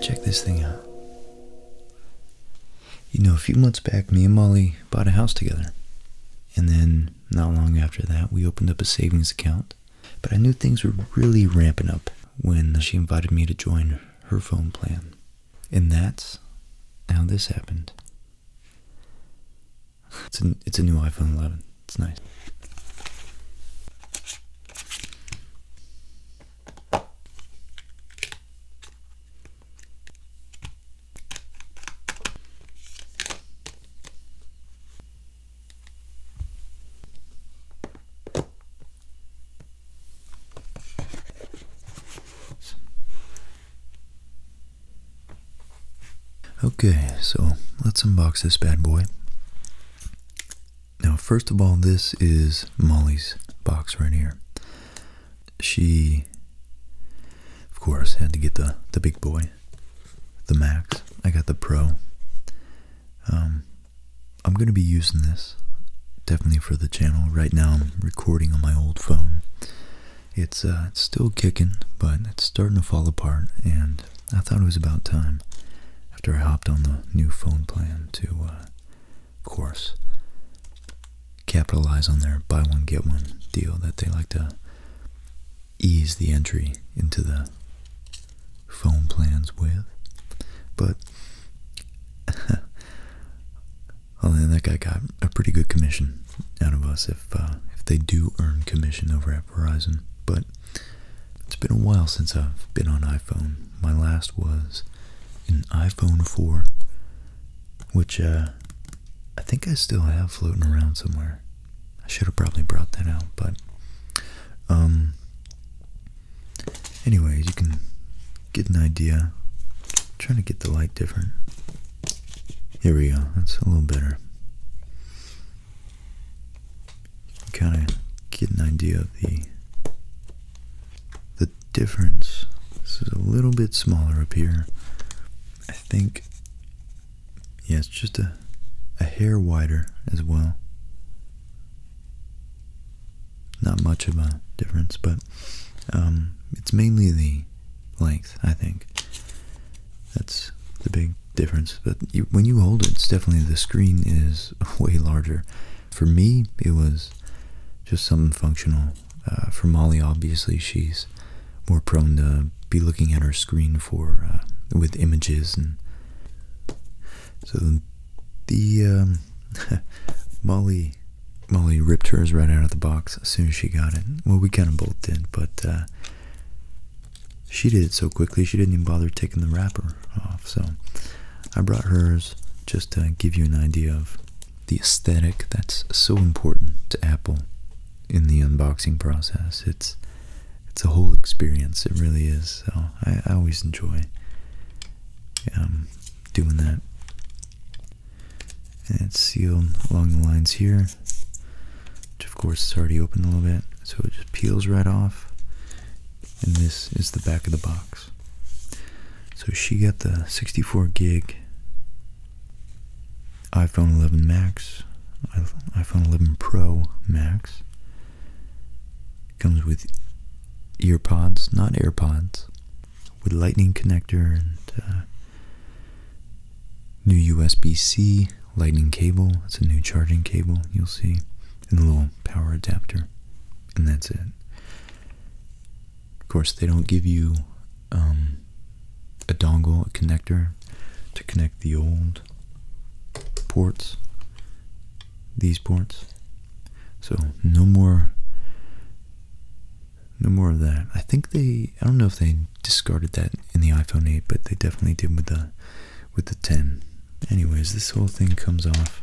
Check this thing out. You know, a few months back, me and Molly bought a house together. And then, not long after that, we opened up a savings account. But I knew things were really ramping up when she invited me to join her phone plan. And that's how this happened. It's a, it's a new iPhone 11. It's nice. Okay, so let's unbox this bad boy. Now, first of all, this is Molly's box right here. She, of course, had to get the, the big boy, the Max. I got the Pro. Um, I'm going to be using this definitely for the channel. Right now I'm recording on my old phone. It's, uh, still kicking, but it's starting to fall apart, and I thought it was about time after I hopped on the new phone plan to, uh, of course, capitalize on their buy one, get one deal that they like to ease the entry into the phone plans with. But Well, that guy got a pretty good commission out of us if uh, if they do earn commission over at Verizon. But it's been a while since I've been on iPhone. My last was an iPhone 4, which uh, I think I still have floating around somewhere. I should have probably brought that out, but um. Anyways, you can get an idea. trying to get the light different. Here we go. That's a little better. Kind of get an idea of the the difference. This is a little bit smaller up here. I think. Yeah, it's just a a hair wider as well not much of a difference, but um, it's mainly the length, I think. That's the big difference. But when you hold it, it's definitely the screen is way larger. For me, it was just something functional. Uh, for Molly, obviously, she's more prone to be looking at her screen for uh, with images and so the um, Molly, Molly ripped hers right out of the box as soon as she got it. Well, we kind of both did, but uh, she did it so quickly she didn't even bother taking the wrapper off. So I brought hers just to give you an idea of the aesthetic that's so important to Apple in the unboxing process. It's it's a whole experience. It really is. So I, always enjoy um, doing that and it's sealed along the lines here, which of course is already open a little bit, so it just peels right off, and this is the back of the box. So she got the 64 gig iPhone 11 Max, iPhone 11 Pro Max. Comes with earpods, not AirPods, with lightning connector and uh, new USB-C lightning cable. It's a new charging cable, you'll see, and a little power adapter, and that's it. Of course, they don't give you um, a dongle, a connector to connect the old ports, these ports. So no more no more of that. I think they, I don't know if they discarded that in the iPhone 8, but they definitely did with the, with the 10. Anyways, this whole thing comes off.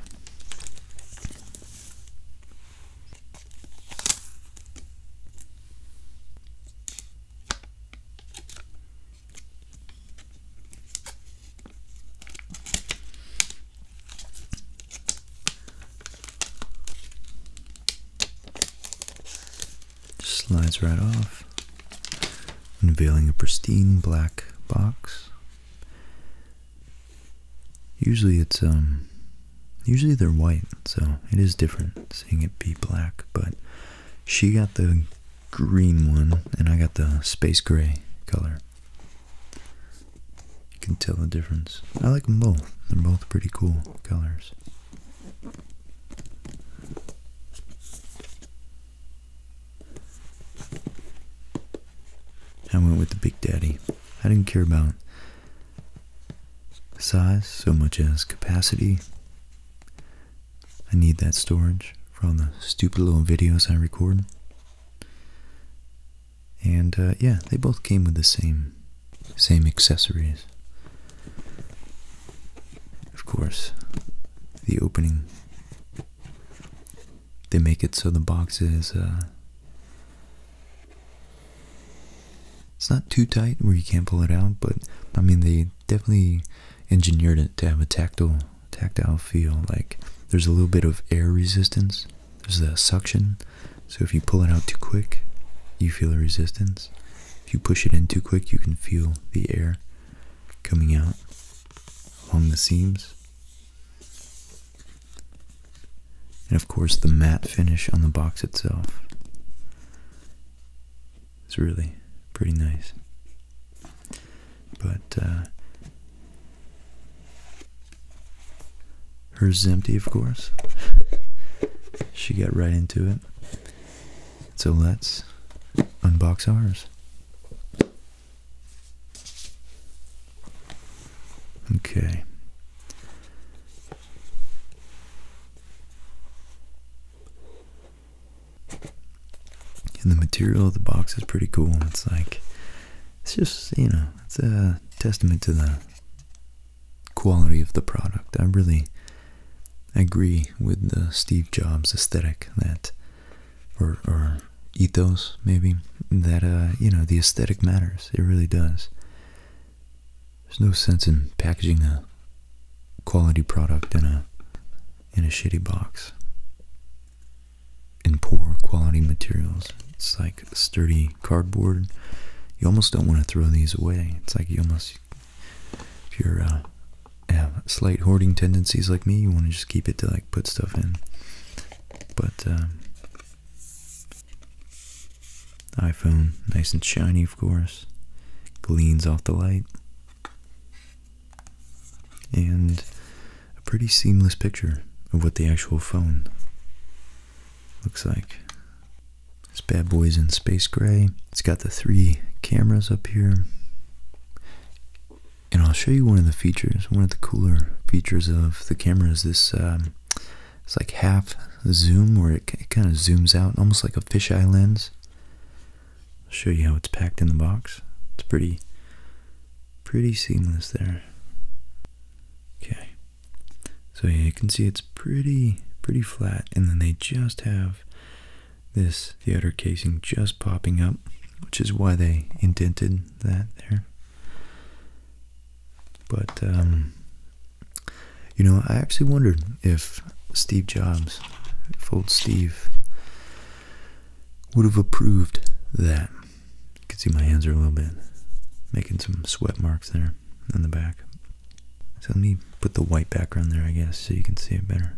Slides right off, unveiling a pristine black box. Usually it's, um, usually they're white, so it is different seeing it be black, but she got the green one and I got the space gray color. You can tell the difference. I like them both. They're both pretty cool colors. I went with the Big Daddy. I didn't care about size so much as capacity. I need that storage for all the stupid little videos I record. And uh, yeah, they both came with the same same accessories. Of course, the opening. They make it so the box is uh, it's not too tight where you can't pull it out, but I mean they definitely engineered it to have a tactile tactile feel. Like there's a little bit of air resistance there's the suction, so if you pull it out too quick, you feel a resistance. If you push it in too quick, you can feel the air coming out along the seams. And of course, the matte finish on the box itself. is really pretty nice. But uh, Hers is empty, of course. she got right into it. So let's unbox ours. Okay. And the material of the box is pretty cool. It's like, it's just, you know, it's a testament to the quality of the product. I really agree with the Steve Jobs aesthetic that, or, ethos maybe, that, uh, you know, the aesthetic matters. It really does. There's no sense in packaging a quality product in a in a shitty box in poor quality materials. It's like sturdy cardboard. You almost don't want to throw these away. It's like you almost, if you're uh, have slight hoarding tendencies like me, you want to just keep it to like put stuff in. But um, iPhone, nice and shiny, of course, gleams off the light, and a pretty seamless picture of what the actual phone looks like. This bad boy's in space gray. It's got the three cameras up here. And I'll show you one of the features, one of the cooler features of the camera is this, um, it's like half zoom where it, it kind of zooms out, almost like a fisheye lens. I'll show you how it's packed in the box. It's pretty, pretty seamless there. Okay. So yeah, you can see it's pretty pretty flat, and then they just have this the outer casing just popping up, which is why they indented that there. But um, you know, I actually wondered if Steve Jobs, if old Steve, would have approved that you can see my hands are a little bit making some sweat marks there in the back. So let me put the white background there, I guess, so you can see it better.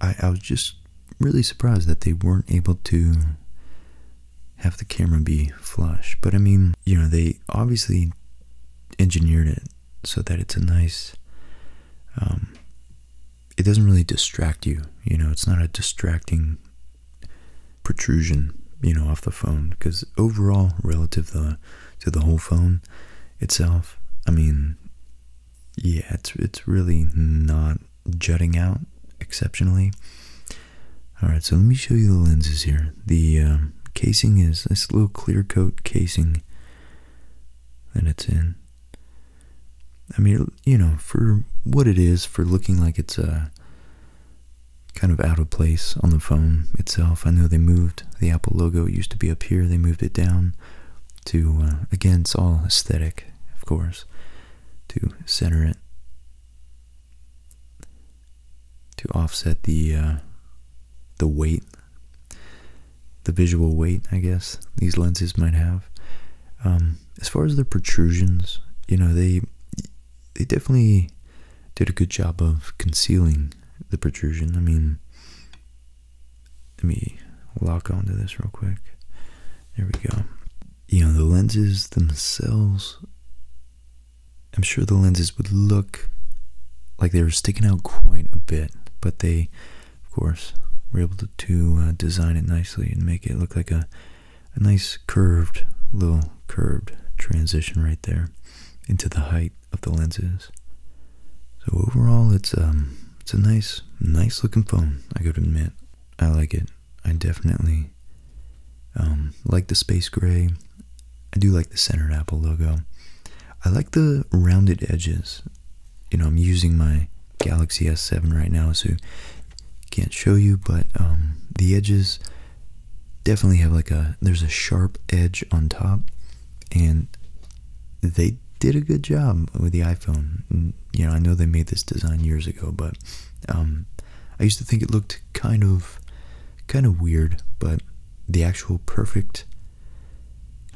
I, I was just really surprised that they weren't able to have the camera be flush. But I mean, you know, they obviously engineered it so that it's a nice um, it doesn't really distract you. You know, it's not a distracting protrusion, you know, off the phone. Because overall, relative to the whole phone itself, I mean, yeah, it's it's really not jutting out exceptionally. All right, so let me show you the lenses here. The um, casing is this little clear coat casing and it's in. I mean, you know, for what it is, for looking like it's uh, kind of out of place on the phone itself. I know they moved the Apple logo. It used to be up here. They moved it down to, uh, again, it's all aesthetic, of course, to center it, to offset the, uh, the weight the visual weight, I guess, these lenses might have. Um, as far as the protrusions, you know, they they definitely did a good job of concealing the protrusion. I mean, let me lock onto this real quick. There we go. You know, the lenses themselves, I'm sure the lenses would look like they were sticking out quite a bit, but they of course, we're able to, uh, design it nicely and make it look like a, nice curved, little curved transition right there into the height of the lenses. So overall, it's um, it's a nice, nice looking phone. I gotta admit, I like it. I definitely um, like the space gray. I do like the centered Apple logo. I like the rounded edges you know, I'm using my Galaxy S7 right now, so can't show you, but um, the edges definitely have like a, there's a sharp edge on top, and they did a good job with the iPhone. Mm, you know, I know they made this design years ago, but um, I used to think it looked kind of, kind of weird, but the actual perfect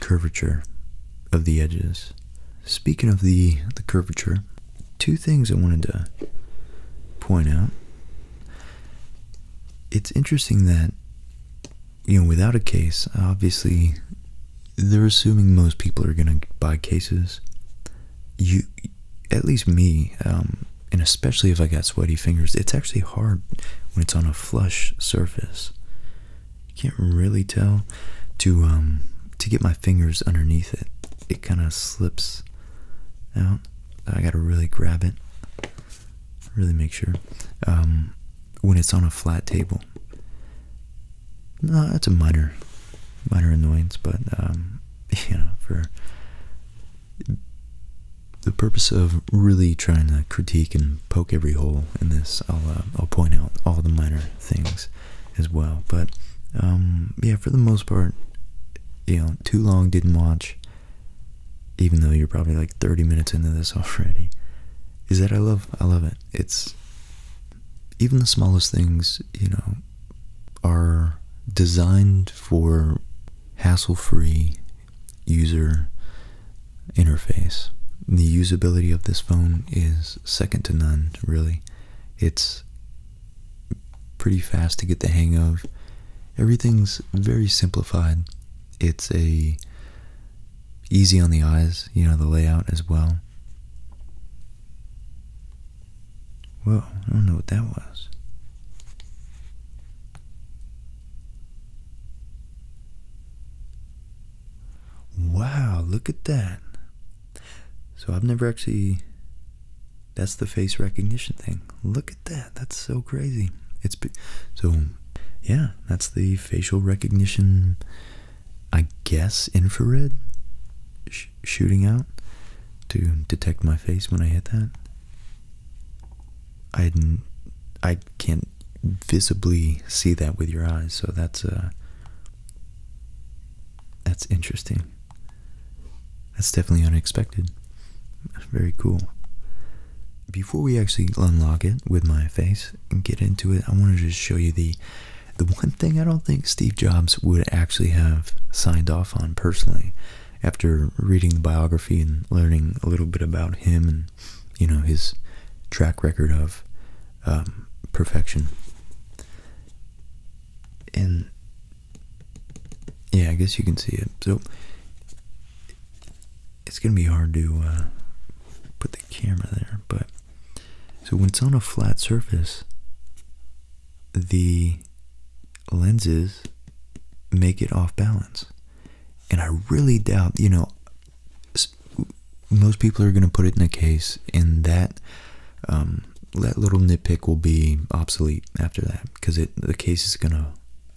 curvature of the edges. Speaking of the, the curvature, two things I wanted to point out. It's interesting that, you know, without a case, obviously they're assuming most people are going to buy cases. You, at least me, um, and especially if I got sweaty fingers, it's actually hard when it's on a flush surface can't really tell to um, to get my fingers underneath it it kind of slips out I gotta really grab it really make sure um, when it's on a flat table no that's a minor minor annoyance but um, you know for the purpose of really trying to critique and poke every hole in this, I'll uh, I'll point out all the minor things as well. But um, yeah, for the most part, you know, too long didn't watch. Even though you're probably like 30 minutes into this already, is that I love I love it. It's even the smallest things, you know, are designed for hassle-free user interface. The usability of this phone is second to none, really. It's pretty fast to get the hang of. Everything's very simplified. It's a easy on the eyes, you know, the layout as well. Well, I don't know what that was. Wow, look at that. So I've never actually. That's the face recognition thing. Look at that. That's so crazy. It's so yeah, that's the facial recognition I guess infrared shooting out to detect my face when I hit that. I I can't visibly see that with your eyes, so that's a uh, that's interesting. That's definitely unexpected. Very cool. Before we actually unlock it with my face and get into it, I want to just show you the the one thing I don't think Steve Jobs would actually have signed off on personally after reading the biography and learning a little bit about him and you know his track record of um, perfection. And yeah, I guess you can see it. So it's gonna be hard to uh, put the camera there, but so when it's on a flat surface, the lenses make it off balance. And I really doubt, you know, most people are going to put it in a case, and that um, that little nitpick will be obsolete after that because the case is going to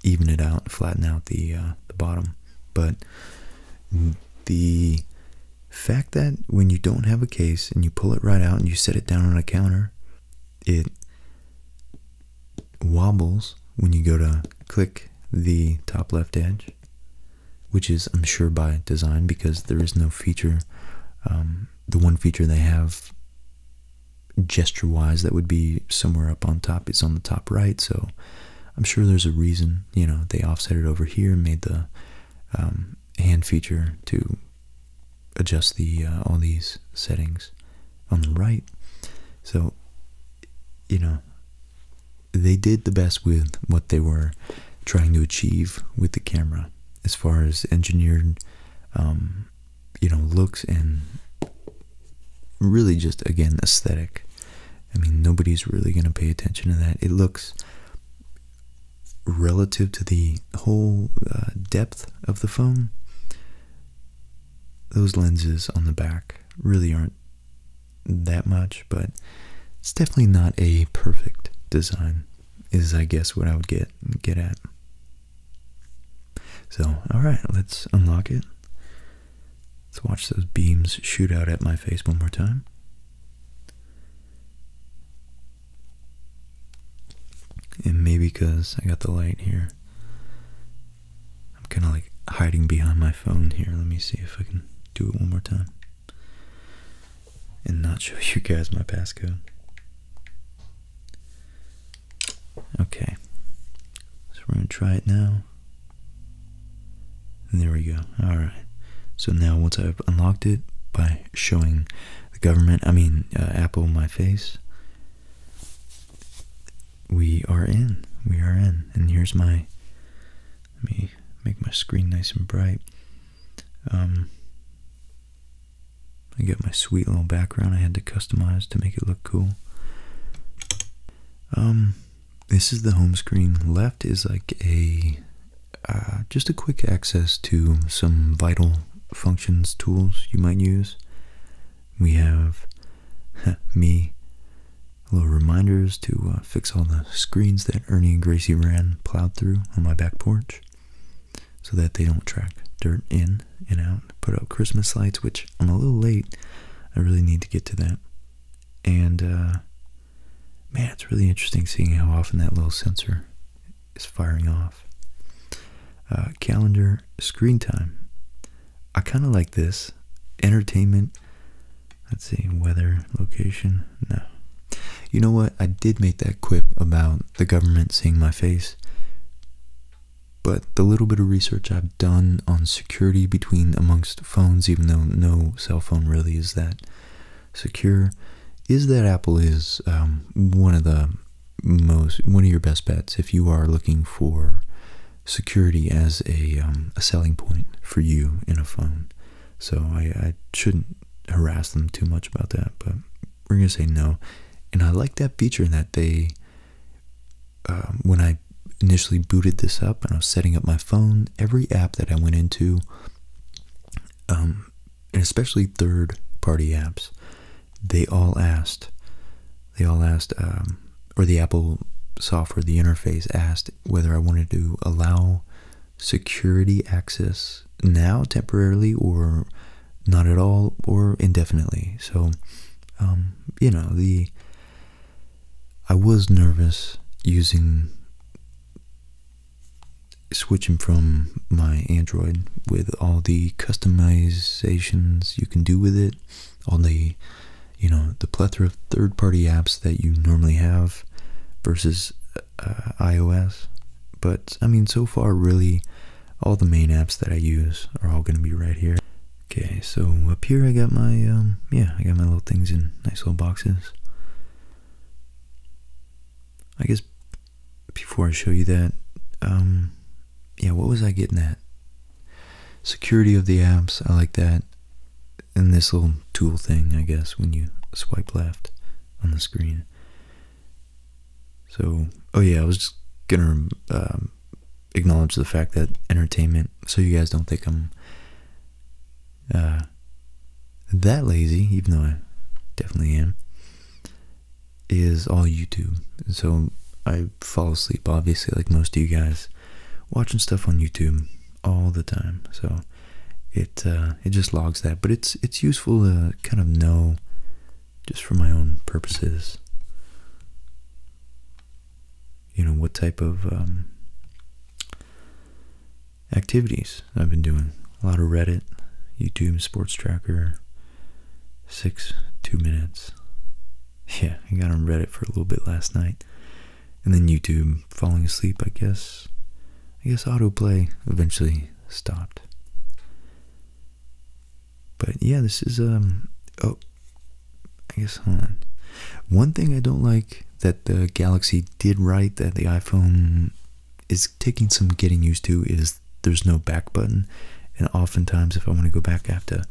even it out, flatten out the uh, the bottom. But the fact that when you don't have a case and you pull it right out and you set it down on a counter, it wobbles when you go to click the top left edge which is, I'm sure, by design because there is no feature. Um, the one feature they have gesture wise that would be somewhere up on top is on the top right. So I'm sure there's a reason, you know, they offset it over here made the um, hand feature to adjust the uh, all these settings on the right. So, you know, they did the best with what they were trying to achieve with the camera as far as engineered um, you know looks and really just again aesthetic i mean nobody's really going to pay attention to that it looks relative to the whole uh, depth of the phone those lenses on the back really aren't that much, but it's definitely not a perfect design is I guess what I would get get at. So, alright, let's unlock it. Let's watch those beams shoot out at my face one more time. And maybe because I got the light here, I'm kind of like hiding behind my phone here. Let me see if I can do it one more time and not show you guys my passcode. Okay, so we're gonna try it now. there we go. All right. So now once I've unlocked it by showing the government, I mean uh, Apple, my face, we are in. We are in. And here's my. me make my screen nice and bright. Um, I get my sweet little background I had to customize to make it look cool. Um, this is the home screen. Left is like a uh, just a quick access to some vital functions tools you might use. We have me little reminders to uh, fix all the screens that Ernie and Gracie ran plowed through on my back porch so that they don't track dirt in and out. Put up Christmas lights, which I'm a little late. I really need to get to that. And, uh, man, it's really interesting seeing how often that little sensor is firing off. Uh, calendar, screen time. I kind of like this. Entertainment, Let's see, weather, location, no. You know what? I did make that quip about the government seeing my face. But the little bit of research I've done on security between amongst phones, even though no cell phone really is that secure, is that Apple is um, one of the most, one of your best bets if you are looking for security as a, um, a selling point for you in a phone. So I, shouldn't harass them too much about that, but we're gonna say no. And I like that feature that they, um, when I initially booted this up and I was setting up my phone, every app that I went into, um, especially third party apps, they all asked, they all asked, um, or the Apple software, the interface asked whether I wanted to allow security access now temporarily or not at all or indefinitely. So, um, you know, the I was nervous using switching from my Android with all the customizations you can do with it, all the you know the plethora of third-party apps that you normally have versus uh, iOS. But I mean, so far, really, all the main apps that I use are all going to be right here. Okay, so up here I got my, um, yeah, I got my little things in nice little boxes. I guess before I show you that, um, yeah, what was I getting at? Security of the apps, I like that. In this little tool thing, I guess, when you swipe left on the screen. So, oh yeah, I was just gonna um, acknowledge the fact that entertainment, so you guys don't think I'm uh, that lazy, even though I definitely am, is all YouTube. So I fall asleep, obviously, like most of you guys, watching stuff on YouTube all the time. So it uh, it just logs that, but it's it's useful to kind of know just for my own purposes. You know what type of um, activities I've been doing. A lot of Reddit, YouTube, Sports Tracker, six two minutes. Yeah, I got on Reddit for a little bit last night and then YouTube falling asleep, I guess. I guess autoplay eventually stopped. But yeah, this is, um, oh, I guess, hold on. One thing I don't like that the Galaxy did right that the iPhone is taking some getting used to is there's no back button. And oftentimes, if I want to go back, I have to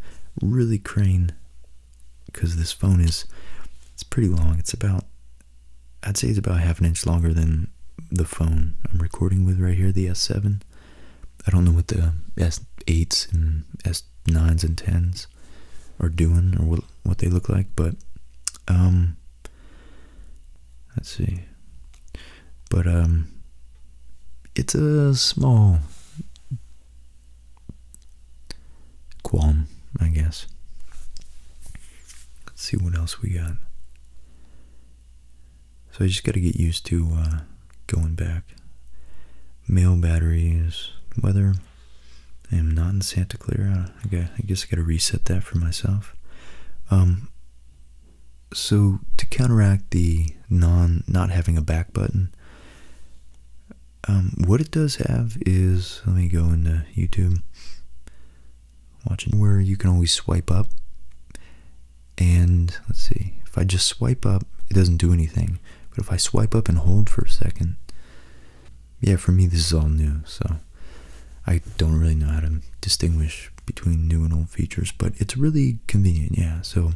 really crane because this phone is it's pretty long. It's about I'd say it's about half an inch longer than the phone I'm recording with right here, the S7. I don't know what the S8s and S9s and 10s are doing or what what they look like, but um, let's see. But um it's a small Guam, I guess. Let's see what else we got. So I just got to get used to uh, going back. Mail batteries, weather. I am not in Santa Clara. I guess I got to reset that for myself. Um, so to counteract the non not having a back button, um, what it does have is, let me go into YouTube, watching where you can always swipe up. And let's see, if I just swipe up, it doesn't do anything. But if I swipe up and hold for a second, yeah, for me, this is all new. So I don't really know how to distinguish between new and old features, but it's really convenient. Yeah. So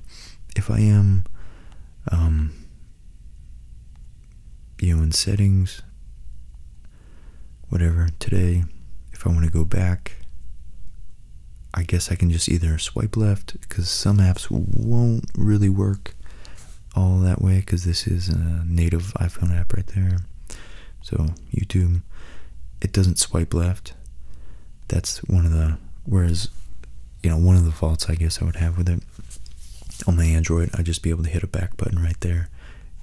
if I am, um, you know, in settings, whatever. Today, if I want to go back, I guess I can just either swipe left because some apps won't really work all that way because this is a native iPhone app right there. So YouTube, it doesn't swipe left. That's one of the, whereas, you know, one of the faults I guess I would have with it on my Android, I'd just be able to hit a back button right there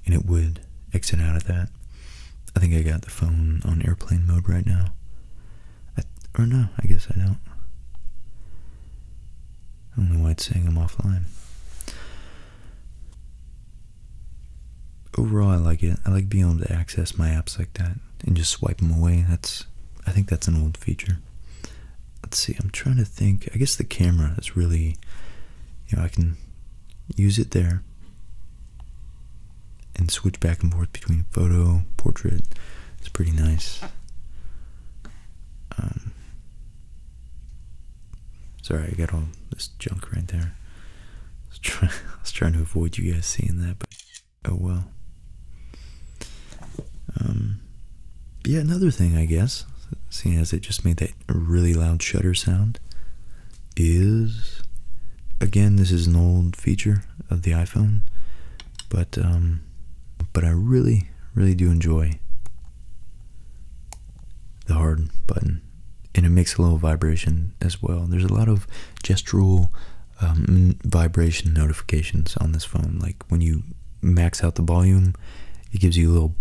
and it would exit out of that. I think I got the phone on airplane mode right now. or no, I guess I don't. I don't know why it's saying I'm offline. Overall, I like it. I like being able to access my apps like that and just swipe them away. That's, I think that's an old feature. Let's see, I'm trying to think. I guess the camera is really, you know, I can use it there and switch back and forth between photo, portrait. It's pretty nice. Um, sorry, I got all this junk right there. I was, I was trying to avoid you guys seeing that, but oh well. Um, yeah, another thing, I guess, seeing as it just made that really loud shutter sound, is again, this is an old feature of the iPhone, but um, but I really, really do enjoy the hard button, and it makes a little vibration as well. There's a lot of gestural um, vibration notifications on this phone, like when you max out the volume, it gives you a little,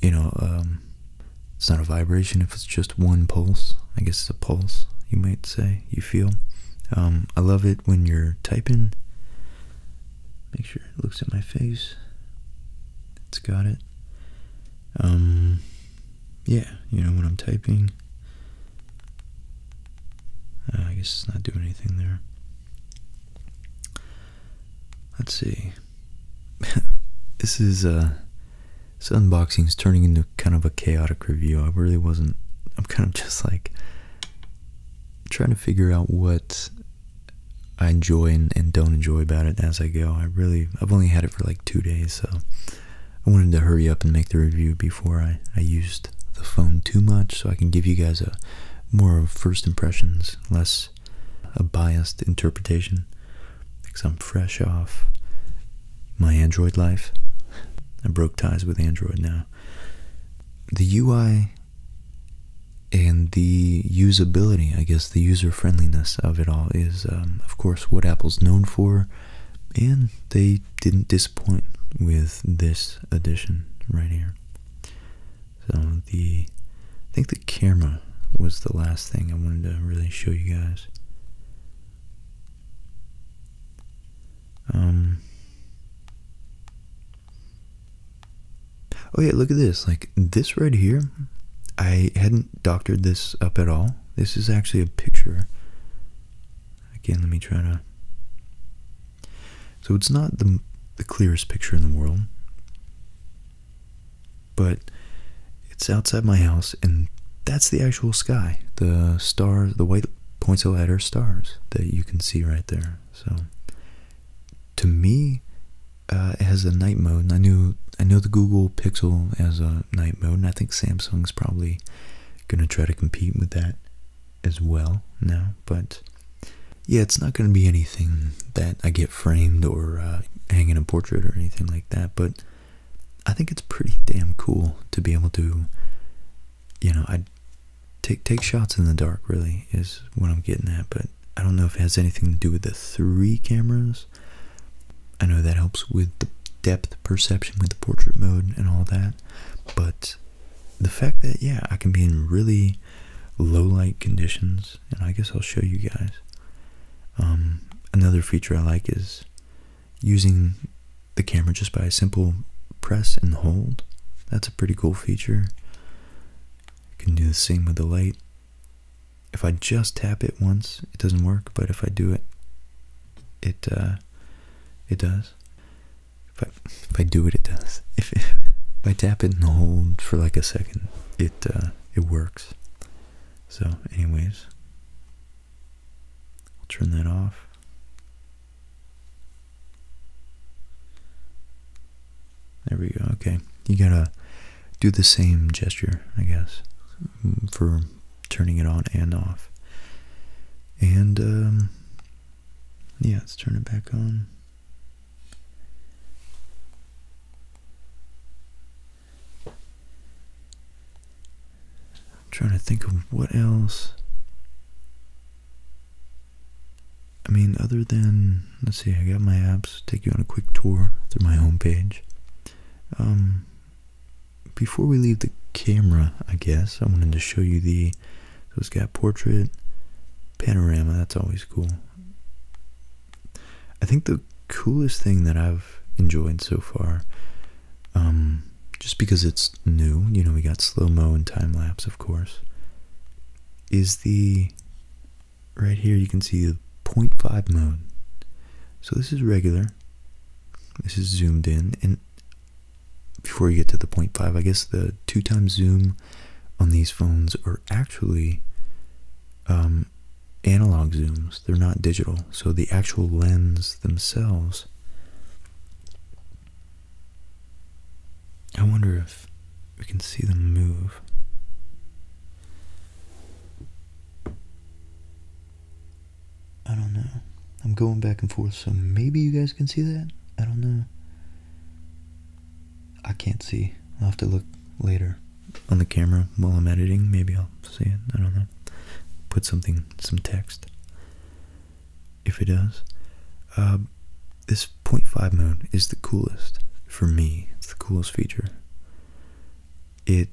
you know, um, it's not a vibration if it's just one pulse. I guess it's a pulse, you might say, you feel. Um, I love it when you're typing. Make sure it looks at my face. It's got it. Um, yeah, you know, when I'm typing, uh, I guess it's not doing anything there. Let's see. this is uh, this unboxing is turning into kind of a chaotic review. I really wasn't. I'm kind of just like trying to figure out what I enjoy and, and don't enjoy about it as I go. I really, I've only had it for like two days, so I wanted to hurry up and make the review before I, I used the phone too much so I can give you guys a more of first impressions, less a biased interpretation because I'm fresh off my Android life. I broke ties with Android now. The UI and the usability, I guess, the user friendliness of it all is, um, of course, what Apple's known for, and they didn't disappoint with this edition right here. So the, I think the camera was the last thing I wanted to really show you guys. Um. Oh yeah, look at this. Like this right here, I hadn't doctored this up at all. This is actually a picture. Again, let me try to so it's not the, clearest picture in the world, but it's outside my house, and that's the actual sky. The stars, the white points of light are stars that you can see right there. So to me, uh, it has a night mode, and I knew I know the Google Pixel has a night mode, and I think Samsung's probably gonna try to compete with that as well now, but yeah, it's not going to be anything that I get framed or uh, hanging a portrait or anything like that, but I think it's pretty damn cool to be able to, you know, I take take shots in the dark. Really is what I'm getting at, but I don't know if it has anything to do with the three cameras. I know that helps with the depth perception with the portrait mode and all that, but the fact that yeah, I can be in really low light conditions and I guess I'll show you guys um, another feature I like is using the camera just by a simple press and hold that's a pretty cool feature can do the same with the light if I just tap it once it doesn't work but if I do it it uh, it does if I do it, it does. If, I tap it and hold for like a second, it uh, it works. So, anyways, I'll turn that off. There we go. Okay, you gotta do the same gesture, I guess, for turning it on and off. And um, yeah, let's turn it back on. I'm trying to think of what else. I mean, other than, let's see, I got my apps, take you on a quick tour through my homepage. Um, before we leave the camera, I guess, I wanted to show you the, so it's got portrait, panorama, that's always cool. I think the coolest thing that I've enjoyed so far, um, just because it's new, you know, we got slow mo and time lapse, of course, is the right here you can see the 0.5 mode. So this is regular, this is zoomed in, and before you get to the 0.5, I guess the two times zoom on these phones or actually um, analog zooms. They're not digital. So the actual lens themselves. I wonder if we can see them move. I don't know. I'm going back and forth, so maybe you guys can see that? I don't know. I can't see. I'll have to look later on the camera while I'm editing. Maybe I'll see it. I don't know. Put something, some text. If it does. Uh, this 0.5 mode is the coolest for me. It's the coolest feature. It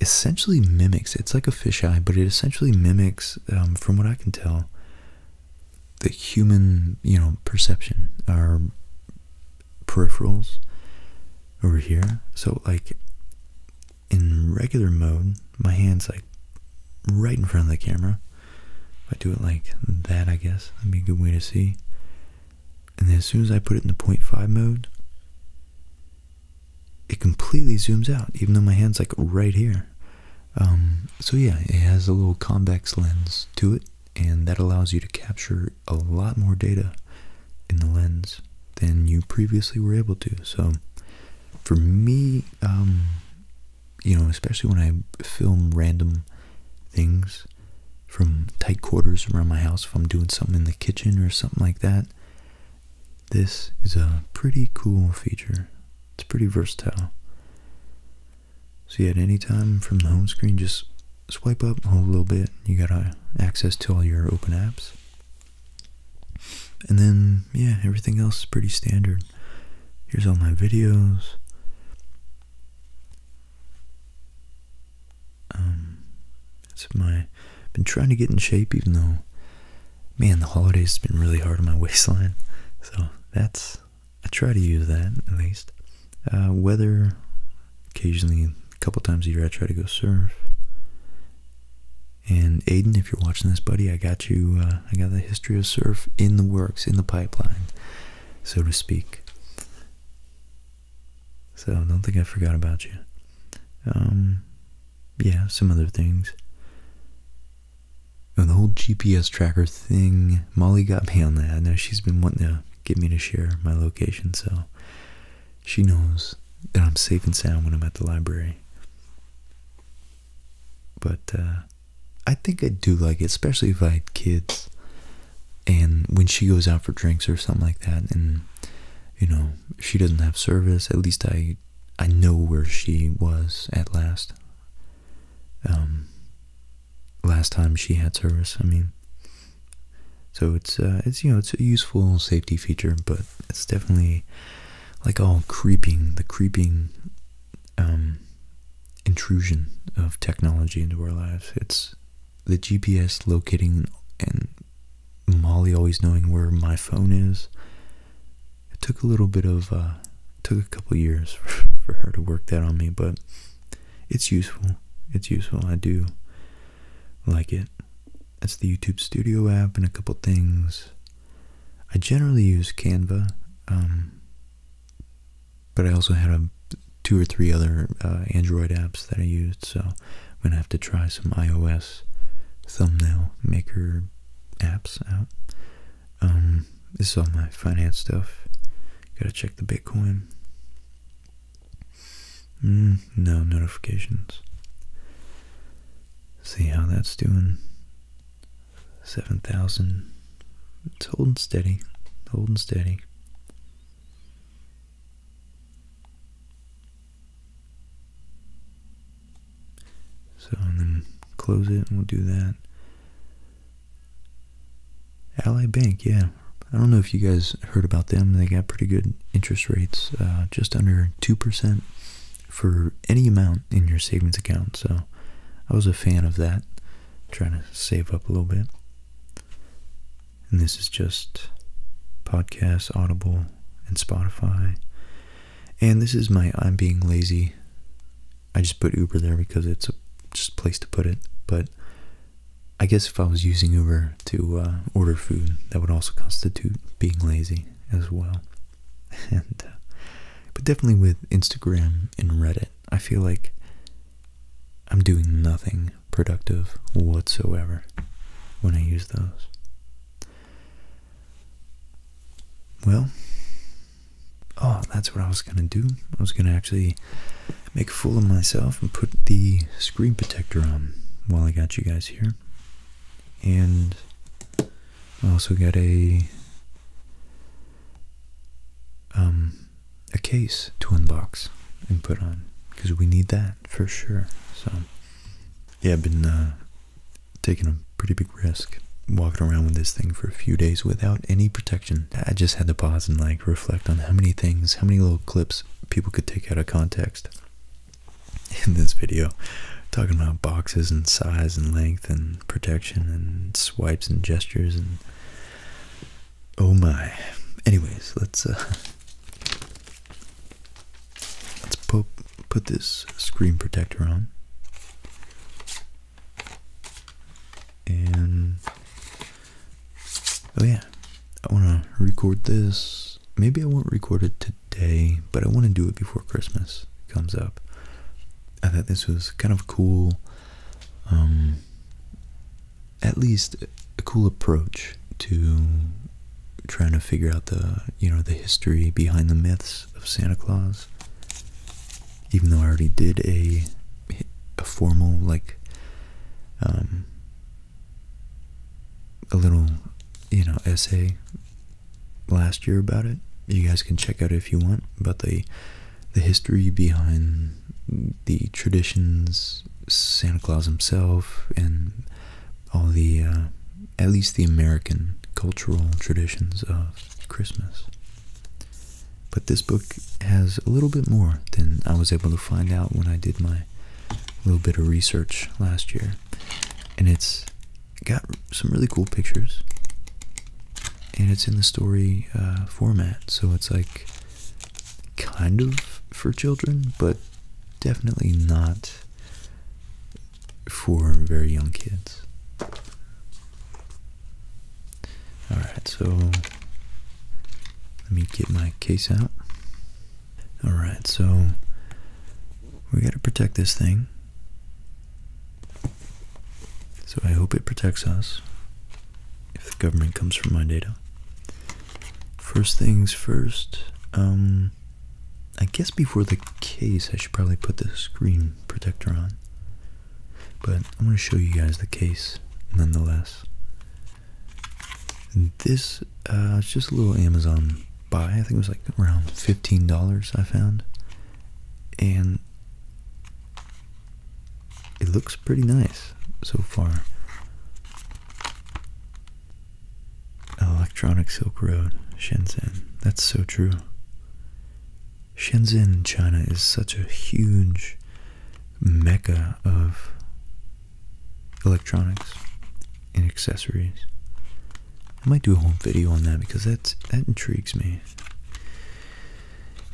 essentially mimics, it's like a fisheye, but it essentially mimics, um, from what I can tell, the human, you know, perception, our peripherals over here. So like in regular mode, my hand's like right in front of the camera. If I do it like that, I guess that'd be a good way to see. And then as soon as I put it in the 0.5 mode, it completely zooms out, even though my hand's like right here. Um, so yeah, it has a little convex lens to it and that allows you to capture a lot more data in the lens than you previously were able to. So, for me, um, you know, especially when I film random things from tight quarters around my house, if I'm doing something in the kitchen or something like that, this is a pretty cool feature. It's pretty versatile. See, at any time from the home screen, just swipe up, a little bit, you got uh, access to all your open apps. And then, yeah, everything else is pretty standard. Here's all my videos. Um, it's my, been trying to get in shape even though, man, the holidays have been really hard on my waistline. So that's I try to use that at least. Uh, weather, occasionally, a couple times a year, I try to go surf. And Aiden, if you're watching this, buddy, I got you. Uh, I got the history of surf in the works, in the pipeline, so to speak. So I don't think I forgot about you. Um, yeah, some other things. And the whole GPS tracker thing, Molly got me on that. I know she's been wanting to get me to share my location, so she knows that I'm safe and sound when I'm at the library. But uh, I think I do like it, especially if I had kids. And when she goes out for drinks or something like that, and you know she doesn't have service, at least I I know where she was at last. Um, last time she had service. I mean, so it's uh, it's you know it's a useful safety feature, but it's definitely like all creeping the creeping um, intrusion of technology into our lives. It's the GPS locating and Molly always knowing where my phone is. It took a little bit of uh, took a couple years for her to work that on me, but it's useful. It's useful. I do like it. That's the YouTube Studio app and a couple things. I generally use Canva, um, but I also had two or three other uh, Android apps that I used, so I'm going to have to try some iOS thumbnail maker apps out. Um, this is all my finance stuff. Gotta check the Bitcoin. Mm, no notifications. See how that's doing. 7,000. It's holding steady. Holding steady. So, and then close it and we'll do that. Ally Bank, yeah. I don't know if you guys heard about them. They got pretty good interest rates, uh, just under 2% for any amount in your savings account. So I was a fan of that, trying to save up a little bit. And this is just podcasts, Audible, and Spotify. And this is my I'm Being Lazy I just put Uber there because it's a just place to put it. But I guess if I was using Uber to uh, order food, that would also constitute being lazy as well. And uh, but definitely with Instagram and Reddit, I feel like I'm doing nothing productive whatsoever when I use those. Well, Oh, that's what I was gonna do. I was gonna actually make a fool of myself and put the screen protector on while I got you guys here. And I also got a um a case to unbox and put on because we need that for sure. So yeah, I've been uh, taking a pretty big risk walking around with this thing for a few days without any protection. I just had to pause and like reflect on how many things, how many little clips people could take out of context in this video. Talking about boxes and size and length and protection and swipes and gestures and oh my. Anyways, let's uh, let's put put this screen protector on. And oh yeah, I want to record this. Maybe I won't record it today, but I want to do it before Christmas comes up. I thought this was kind of cool. Um, at least a cool approach to trying to figure out the you know the history behind the myths of Santa Claus even though I already did a a formal like um, a little you know essay last year about it. You guys can check out if you want about the the history behind the traditions, Santa Claus himself, and all the uh, at least the American cultural traditions of Christmas. But this book has a little bit more than I was able to find out when I did my little bit of research last year. And it's got some really cool pictures. And it's in the story uh, format, so it's like kind of for children, but definitely not for very young kids. Alright, so let me get my case out. Alright, so we gotta protect this thing. So I hope it protects us if the government comes for my data. First things first, um, I guess before the case I should probably put the screen protector on. But I'm going to show you guys the case nonetheless. This uh, it's just a little Amazon buy. I think it was like around $15 I found. And it looks pretty nice so far. Electronic Silk Road, Shenzhen. That's so true. Shenzhen, China, is such a huge mecca of electronics and accessories. I might do a whole video on that because that's, that intrigues me.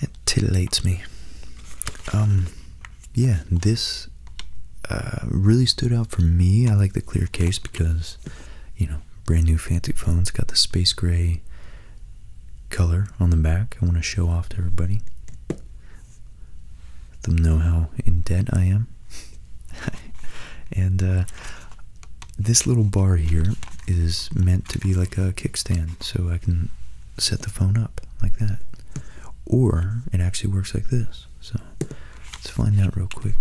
It titillates me. Um, yeah, this uh, really stood out for me. I like the clear case because, you know, brand new fancy phones got the space gray color on the back. I want to show off to everybody. Let them know how in debt I am. and uh, this little bar here is meant to be like a kickstand, so I can set the phone up like that. Or it actually works like this. So let's find out real quick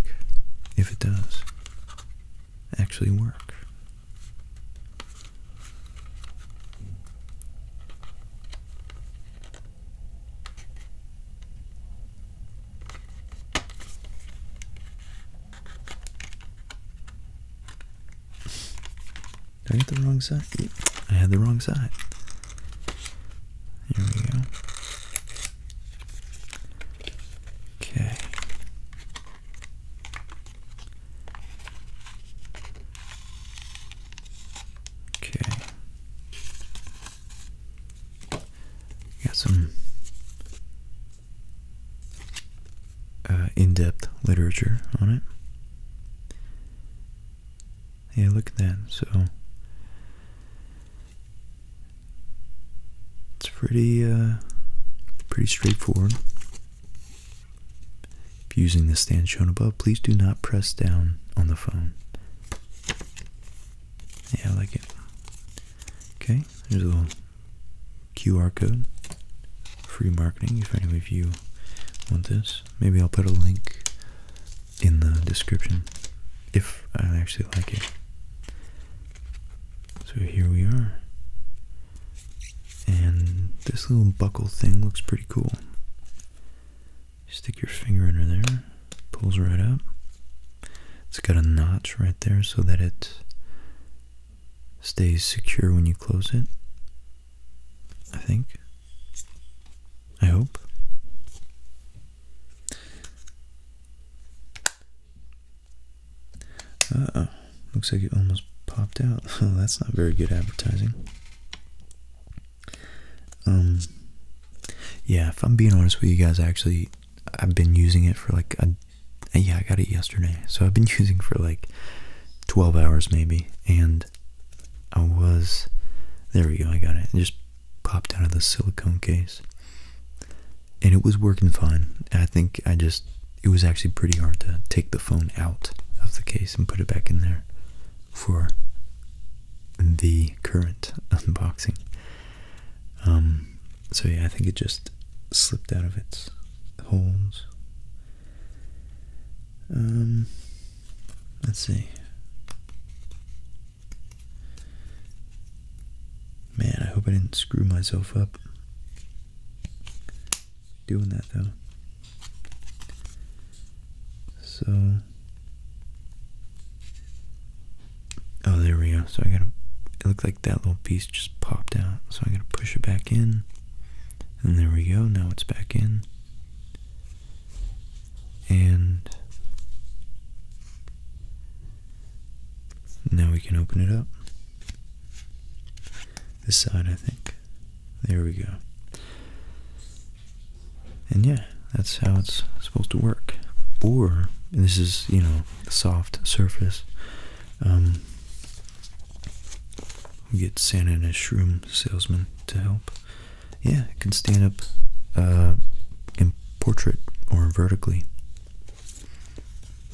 if it does actually work. I get the wrong side. I had the wrong side. Here we go. Okay. Okay. Got some uh, in-depth literature on it. Yeah, look at that. So it's pretty, uh, pretty straightforward. If using the stand shown above, please do not press down on the phone. Yeah, I like it. Okay, there's a little QR code. Free marketing if any of you want this. Maybe I'll put a link in the description if I actually like it. So here we are. And this little buckle thing looks pretty cool. stick your finger under there, pulls right up. It's got a notch right there so that it stays secure when you close it. I think. I hope. Uh oh. Looks like it almost popped out. that's not very good advertising. Um, yeah, if I'm being honest with you guys, actually, I've been using it for like a, yeah, I got it yesterday, so I've been using for like 12 hours maybe, and I was, there we go, I got it. It just popped out of the silicone case, and it was working fine. I think I just it was actually pretty hard to take the phone out of the case and put it back in there for the current unboxing. Um, so yeah, I think it just slipped out of its holes. Um, let's see. Man, I hope I didn't screw myself up doing that though. So, oh, there we go. So I gotta, it looked like that little piece just popped out. So I gotta push it back in. And there we go. Now it's back in. And now we can open it up. This side, I think. There we go. And yeah, that's how it's supposed to work. Or, this is, you know, soft surface. Um, we get Santa and his shroom salesman to help. Yeah, it can stand up uh, in portrait or vertically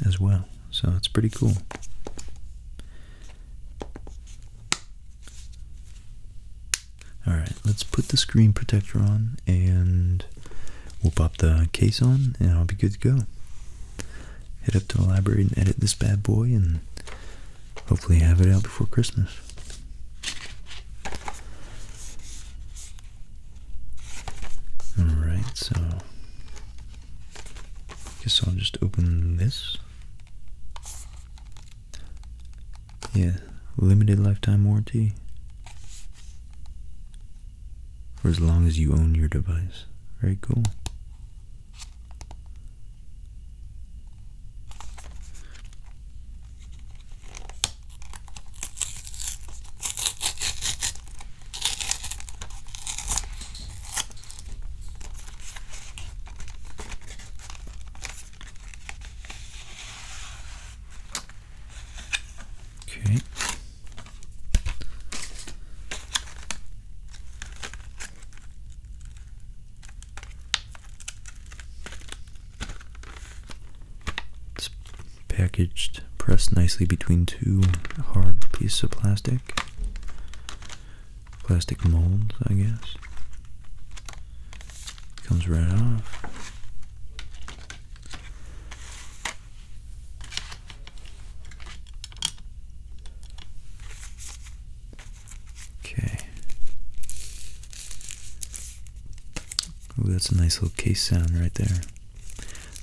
as well. So it's pretty cool. Alright, let's put the screen protector on and we'll pop the case on and I'll be good to go. Head up to the library and edit this bad boy and hopefully have it out before Christmas. Alright, so Guess I'll just open this. Yeah, limited lifetime warranty. For as long as you own your device. Very cool. Okay. It's packaged, pressed nicely between two hard pieces of plastic plastic mold, I guess. Comes right off. Okay. Ooh, that's a nice little case sound right there.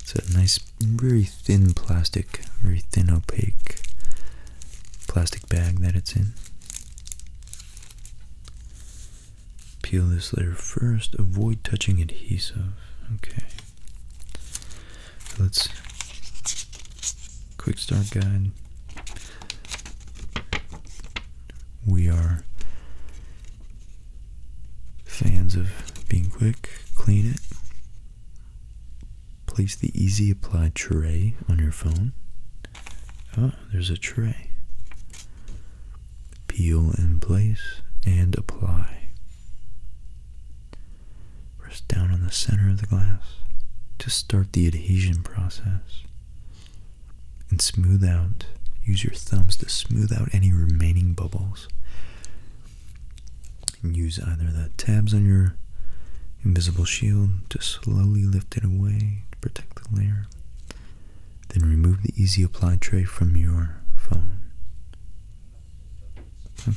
It's a nice very thin plastic, very thin opaque plastic bag that it's in. Peel this layer first, avoid touching adhesive. Okay. Let's quick start guide. We are fans of being quick, clean it, Place the Easy Apply tray on your phone. Oh, there's a tray. Peel in place and apply. Press down on the center of the glass to start the adhesion process. And smooth out, use your thumbs to smooth out any remaining bubbles and use either the tabs on your invisible shield to slowly lift it away to protect the layer. Then remove the easy apply tray from your phone.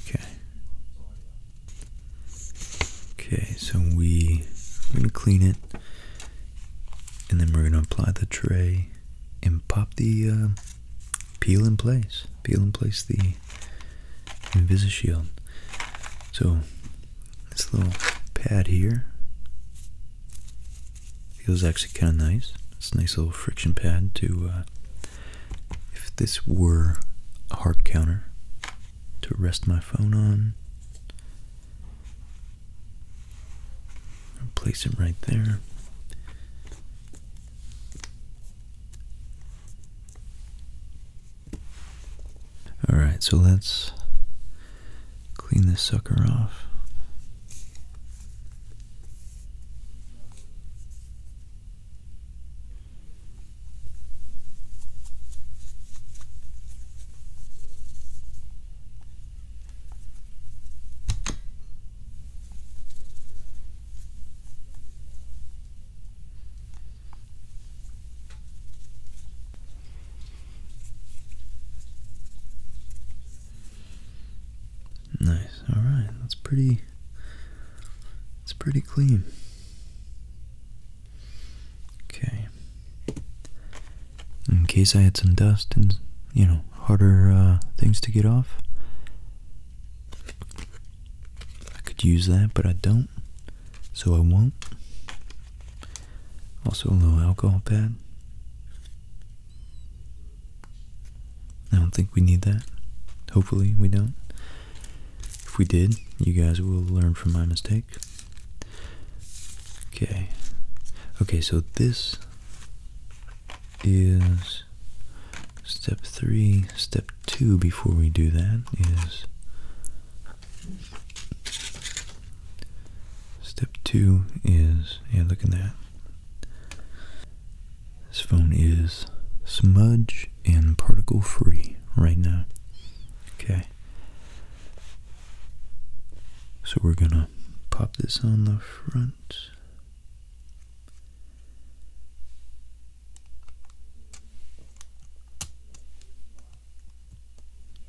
Okay. Okay, so we, are going to clean it and then we're going to apply the tray and pop the uh, peel in place. Peel in place the shield. So this little pad here feels actually kind of nice. It's a nice little friction pad to, uh, if this were a hard counter to rest my phone on, i place it right there. Alright, so let's clean this sucker off. Nice. All right. That's pretty It's pretty clean. Okay. In case I had some dust and, you know, harder uh, things to get off. I could use that, but I don't, so I won't. Also, a little alcohol pad. I don't think we need that. Hopefully, we don't. If we did, you guys will learn from my mistake. Okay. Okay, so this is step three. Step two before we do that is step two is yeah look at that this phone is smudge and particle free right now okay so we're gonna pop this on the front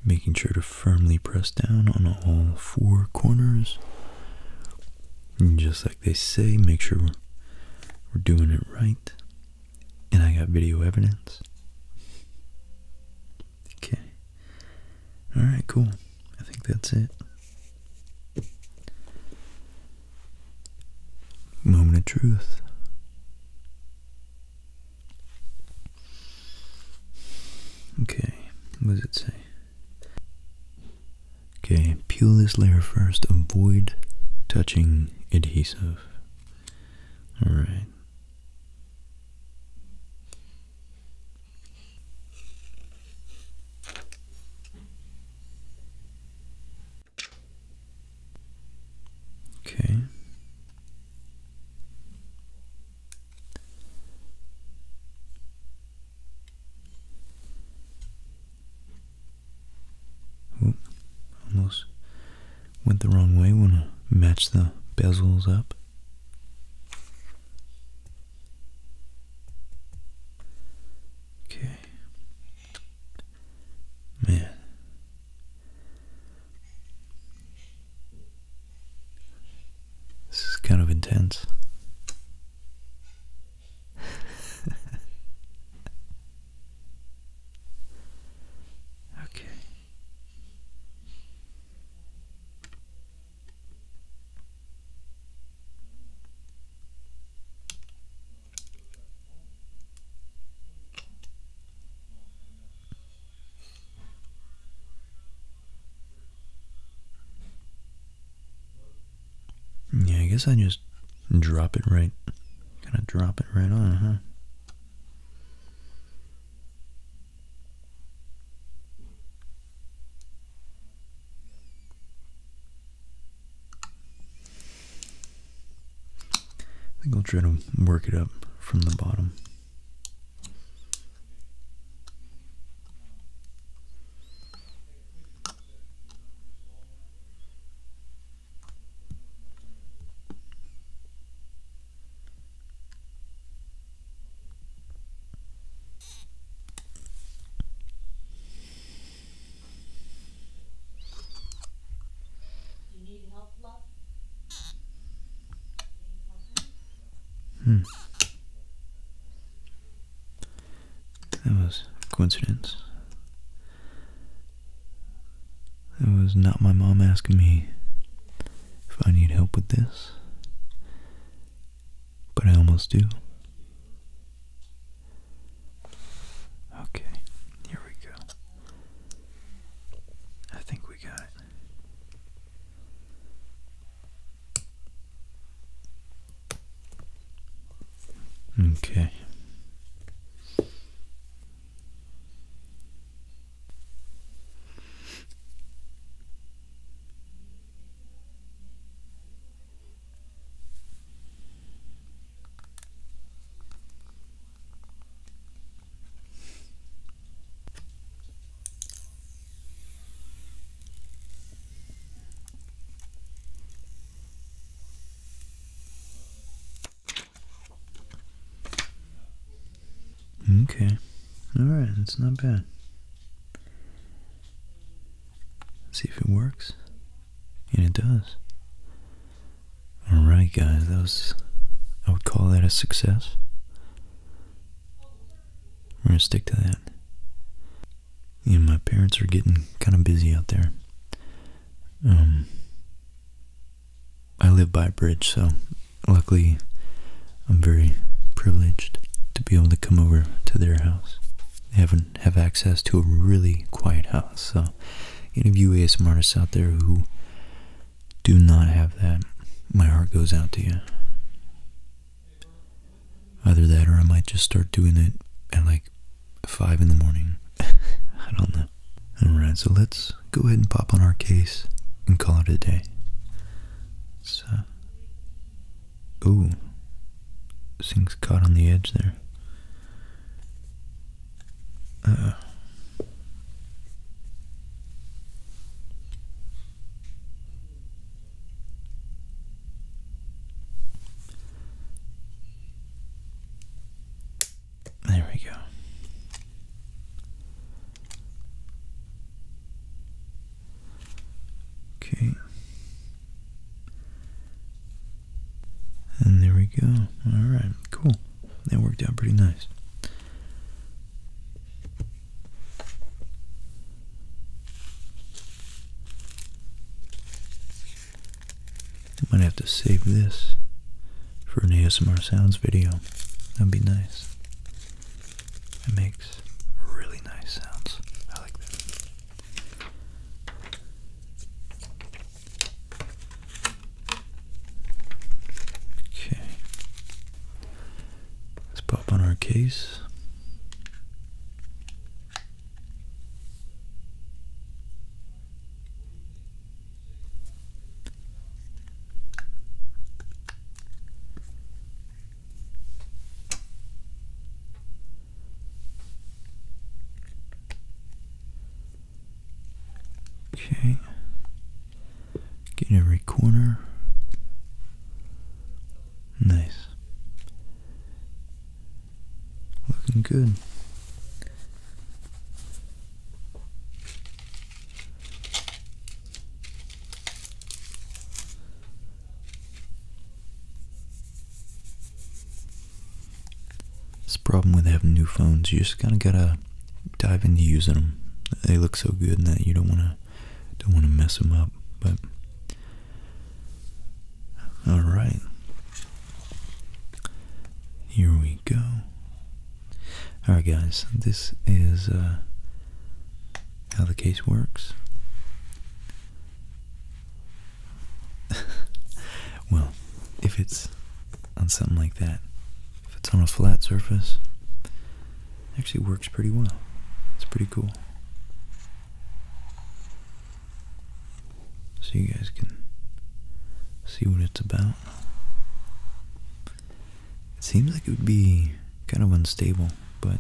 Making sure to firmly press down on all four corners. just like they say, make sure we're, we're doing it right. And I got video evidence. Okay. Alright, cool. I think that's it moment of truth. Okay, what does it say? Okay, peel this layer first. Avoid touching adhesive. Alright. Okay. Ooh, almost went the wrong way. Want to match the bezels up? Okay. Man. This is kind of intense. okay. Yeah, I guess I just drop it right, kind of drop it right on, huh? I think I'll try to work it up from the bottom. Hmm. That was a coincidence. That was not my mom asking me if I need help with this. But I almost do. Okay, here we go. I think we got it. Okay. Okay. Alright, it's not bad. see if it works. And it does. Alright guys, I would call that a success. We're gonna stick to that. Yeah, my parents are getting kind of busy out there. Um, I live by a bridge, so luckily I'm very privileged to be able to come over to their house. They have a have access to a really quiet house. So, any of you ASMR artists out there who do not have that, my heart goes out to you. Either that or I might just start doing it at like 5 in the morning. I don't know. Alright, so let's go ahead and pop on our case and call it a day. So, ooh, thing's caught on the edge there. Uh, there we go. Okay. And there we go. Alright, cool. That worked out pretty nice. I might have to save this for an ASMR Sounds video. That'd be nice. It makes really nice sounds. I like that. Okay. Let's pop on our case. Okay. Get in every corner. Nice. Looking good. It's a problem with having new phones. You just kind of gotta dive into using them. They look so good that you don't wanna don't wanna mess them up. But all right, here we go. All right, guys, this is uh, how the case works. well, if it's on something like that, if it's on a flat surface, it actually works pretty well. It's pretty cool. So you guys can see what it's about. It seems like it would be kind of unstable, but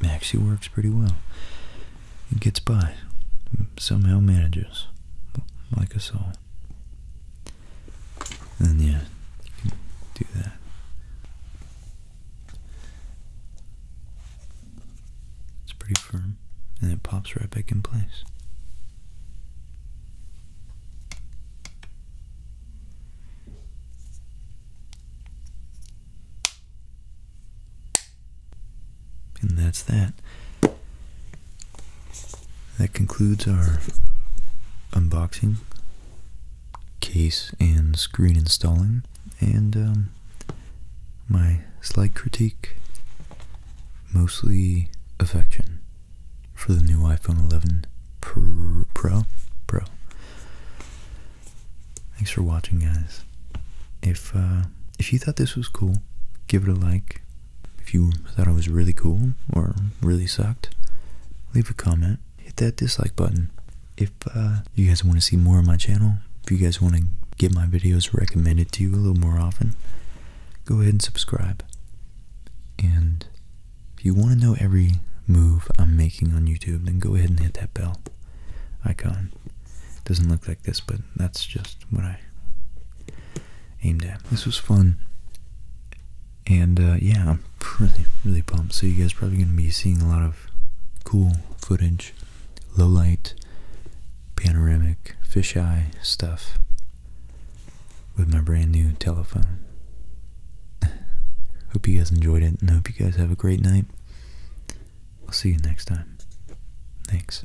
it actually works pretty well. It gets by. Somehow manages. Like us all. And yeah, do that. It's pretty firm. And it pops right back in place. And that's that. That concludes our unboxing, case and screen installing, and um, my slight critique, mostly affection for the new iPhone 11 Pro. Pro. Pro. Thanks for watching, guys. If uh, if you thought this was cool, give it a like. If you thought I was really cool or really sucked, leave a comment. Hit that dislike button. If uh, you guys want to see more of my channel, if you guys want to get my videos recommended to you a little more often, go ahead and subscribe. And if you want to know every move I'm making on YouTube, then go ahead and hit that bell icon um, doesn't look like this, but that's just what I aimed at. This was fun, and uh, yeah, I'm really, really pumped. So you guys are probably going to be seeing a lot of cool footage, low light, panoramic, fisheye stuff with my brand new telephone. hope you guys enjoyed it, and hope you guys have a great night. I'll see you next time. Thanks.